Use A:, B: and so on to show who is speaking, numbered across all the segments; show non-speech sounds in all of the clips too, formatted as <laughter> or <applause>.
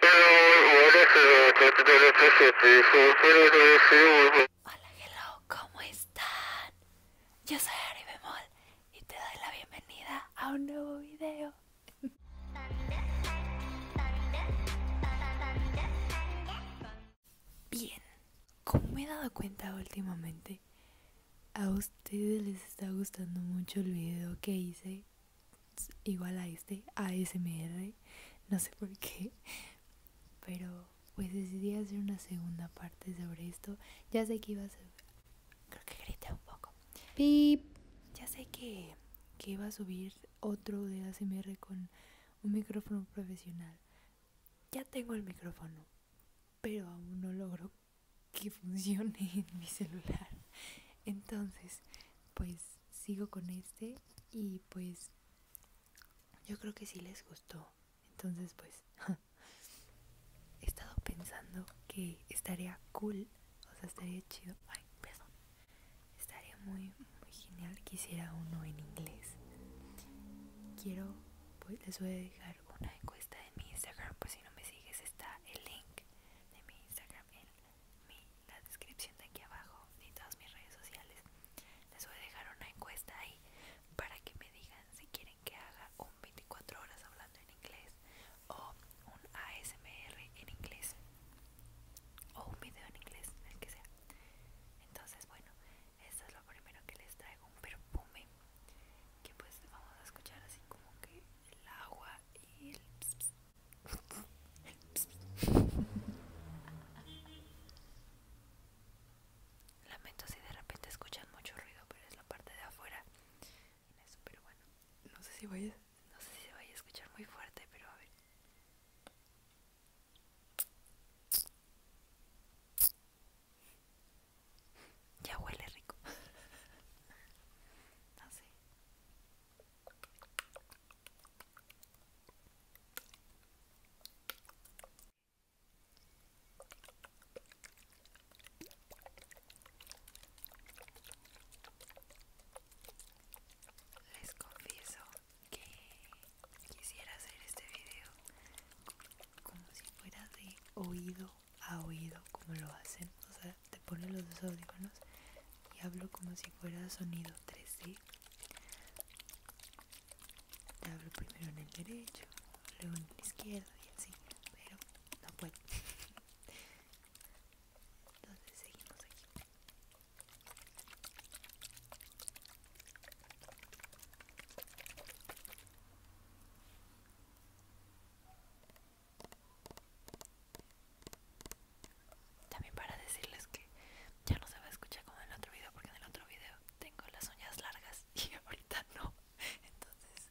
A: Hola, hola, ¿cómo están? Yo soy Ari Bemol y te doy la bienvenida a un nuevo video. Bien, como me he dado cuenta últimamente, a ustedes les está gustando mucho el video que hice igual a este, ASMR, no sé por qué, pero pues decidí hacer una segunda parte sobre esto. Ya sé que iba a subir, creo que grité un poco. Pip, ya sé que, que iba a subir otro de ASMR con un micrófono profesional. Ya tengo el micrófono, pero aún no logro que funcione en mi celular. Entonces, pues sigo con este y pues yo creo que sí les gustó. Entonces, pues <laughs> he estado pensando que estaría cool, o sea, estaría chido. Ay, perdón. Estaría muy, muy genial que hiciera uno en inglés. Quiero, pues les voy a dejar una encuesta en mi Instagram, pues si no me sigues está el link de mi Instagram en la descripción
B: de aquí abajo y todas mis redes sociales. Les voy a dejar una encuesta ahí para que me digan si quieren que haga un 24 horas hablando en inglés o un ASMR en inglés o un video en inglés, el que sea. Entonces, bueno, esto es lo primero que les traigo, un perfume que pues vamos a escuchar así como que el agua Lamento si de repente escuchan mucho ruido, pero es la parte de afuera. pero bueno, no sé si vayas, no sé si se vaya a escuchar muy fuerte, pero a ver. Ya huele rico. <laughs> sé.
A: Les confieso que quisiera hacer este video como si fuera de oído ha oído como lo hacen. O sea, te pones los dos audífonos y hablo como si fuera sonido 3D. Te hablo primero en el derecho, luego en el izquierdo y así, pero no puedo. <laughs> Entonces seguimos aquí.
B: También para decirles que ya no se va a escuchar como en el otro video, porque en el otro video tengo las uñas largas <laughs> y ahorita no. Entonces...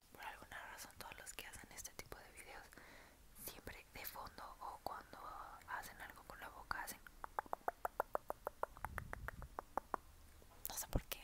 B: por alguna razón todos los que hacen este tipo de videos siempre de fondo o cuando hacen algo con la boca hacen no sé por qué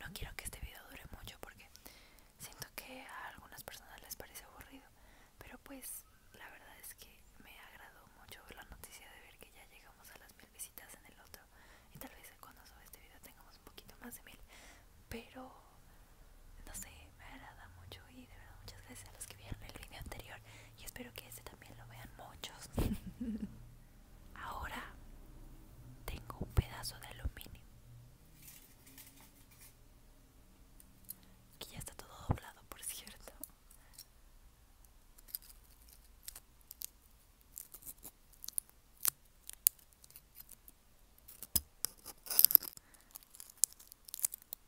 B: No quiero que este video dure mucho porque siento que a algunas personas les parece aburrido, pero pues la verdad es que me agradó mucho la noticia de ver que ya llegamos a las mil visitas en el otro y tal vez cuando suba este video tengamos un poquito más de mil, pero no sé, me agrada mucho y de verdad muchas gracias a los que vieron el video anterior y espero que este también lo vean muchos.
A: <laughs>
B: Ahora tengo un pedazo de aluminio que ya está todo doblado, por cierto.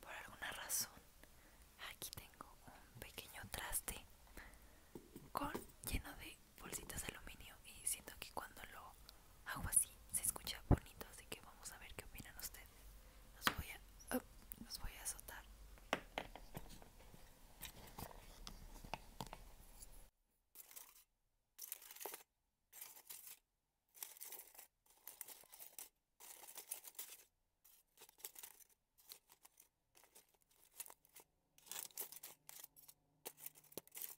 B: Por alguna razón, aquí tengo un pequeño traste con lleno de bolsitas de aluminio y siento que cuando lo hago así se escucha bonito, así que vamos a ver qué opinan ustedes. Los voy a, voy a azotar.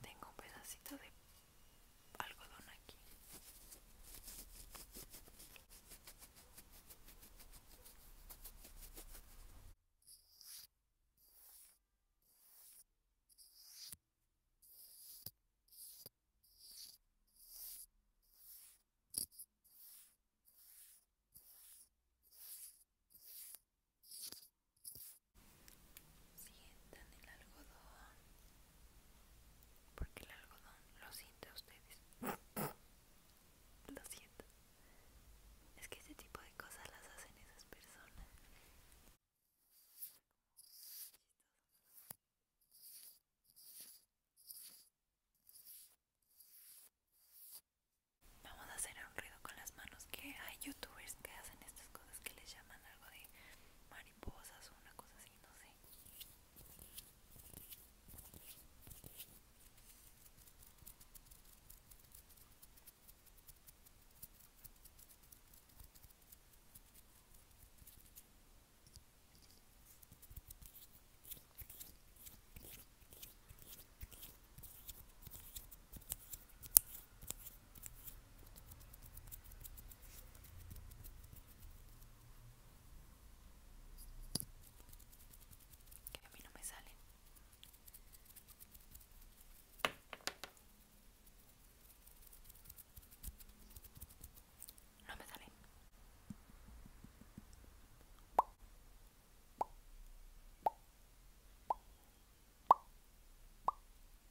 B: Tengo un pedacito de algodón aquí. Sientan el algodón, porque el algodón lo siente a ustedes. Lo siento. Es que ese tipo de cosas las hacen esas personas. Vamos a hacer un ruido con las manos que hay youtubers que hacen estas cosas que les llaman algo de mariposas o una cosa así, no sé. Que a mí no me salen. No me salen.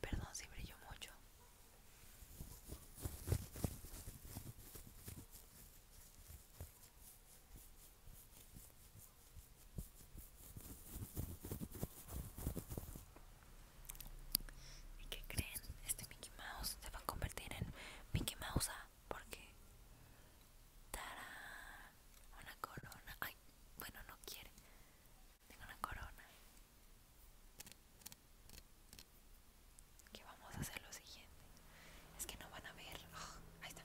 B: Perdón si brilló mucho. ¿Y qué creen? Este Mickey Mouse se va a convertir en Mickey Mouse ah, porque ¡Tarán! una corona ay bueno no quiere tengo una corona que vamos a hacer lo siguiente es que no van a ver ah, ahí está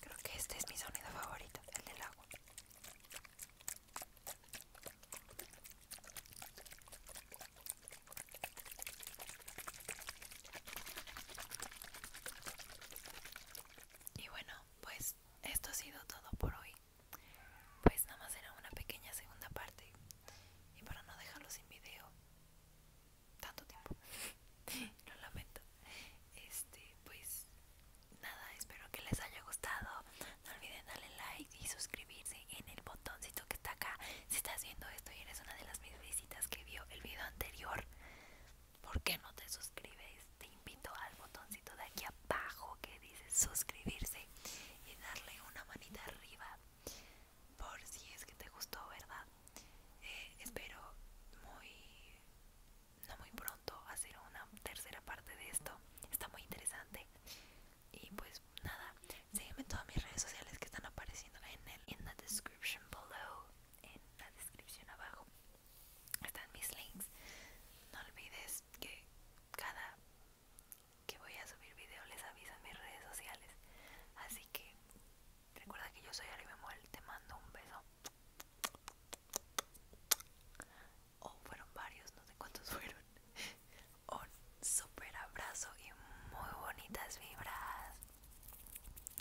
B: Creo que este es mi sonido favorito, el del agua. Y bueno, pues esto ha sido todo por hoy. Pues nada más era una pequeña segunda parte. Y para no dejarlo sin video tanto tiempo, <laughs> lo lamento. Este, pues nada, espero que les haya gustado. No olviden darle like y suscribirse en el botoncito que está acá si estás viendo esto y eres una de las mis visitas que vio el video anterior ¿por qué no te suscribes? te invito al botoncito de aquí abajo que dice suscribirse y darle una manita arriba por si es que te gustó verdad eh, espero muy no muy pronto hacer una tercera parte de esto está muy interesante y pues nada, sígueme en todas mis redes sociales que están apareciendo en el description below, en la descripción abajo. Están mis links. No olvides que cada que voy a subir video les aviso mis redes sociales. Así que recuerda que yo soy Ari te mando un beso. O oh, fueron varios, no sé cuántos <laughs> fueron un super abrazo y muy bonitas vibras.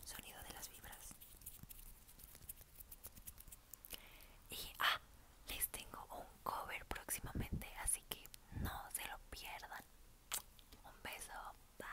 B: Sonido de las vibras. Y ah, les tengo un cover próximamente, así que no se lo pierdan. Un beso. Bye.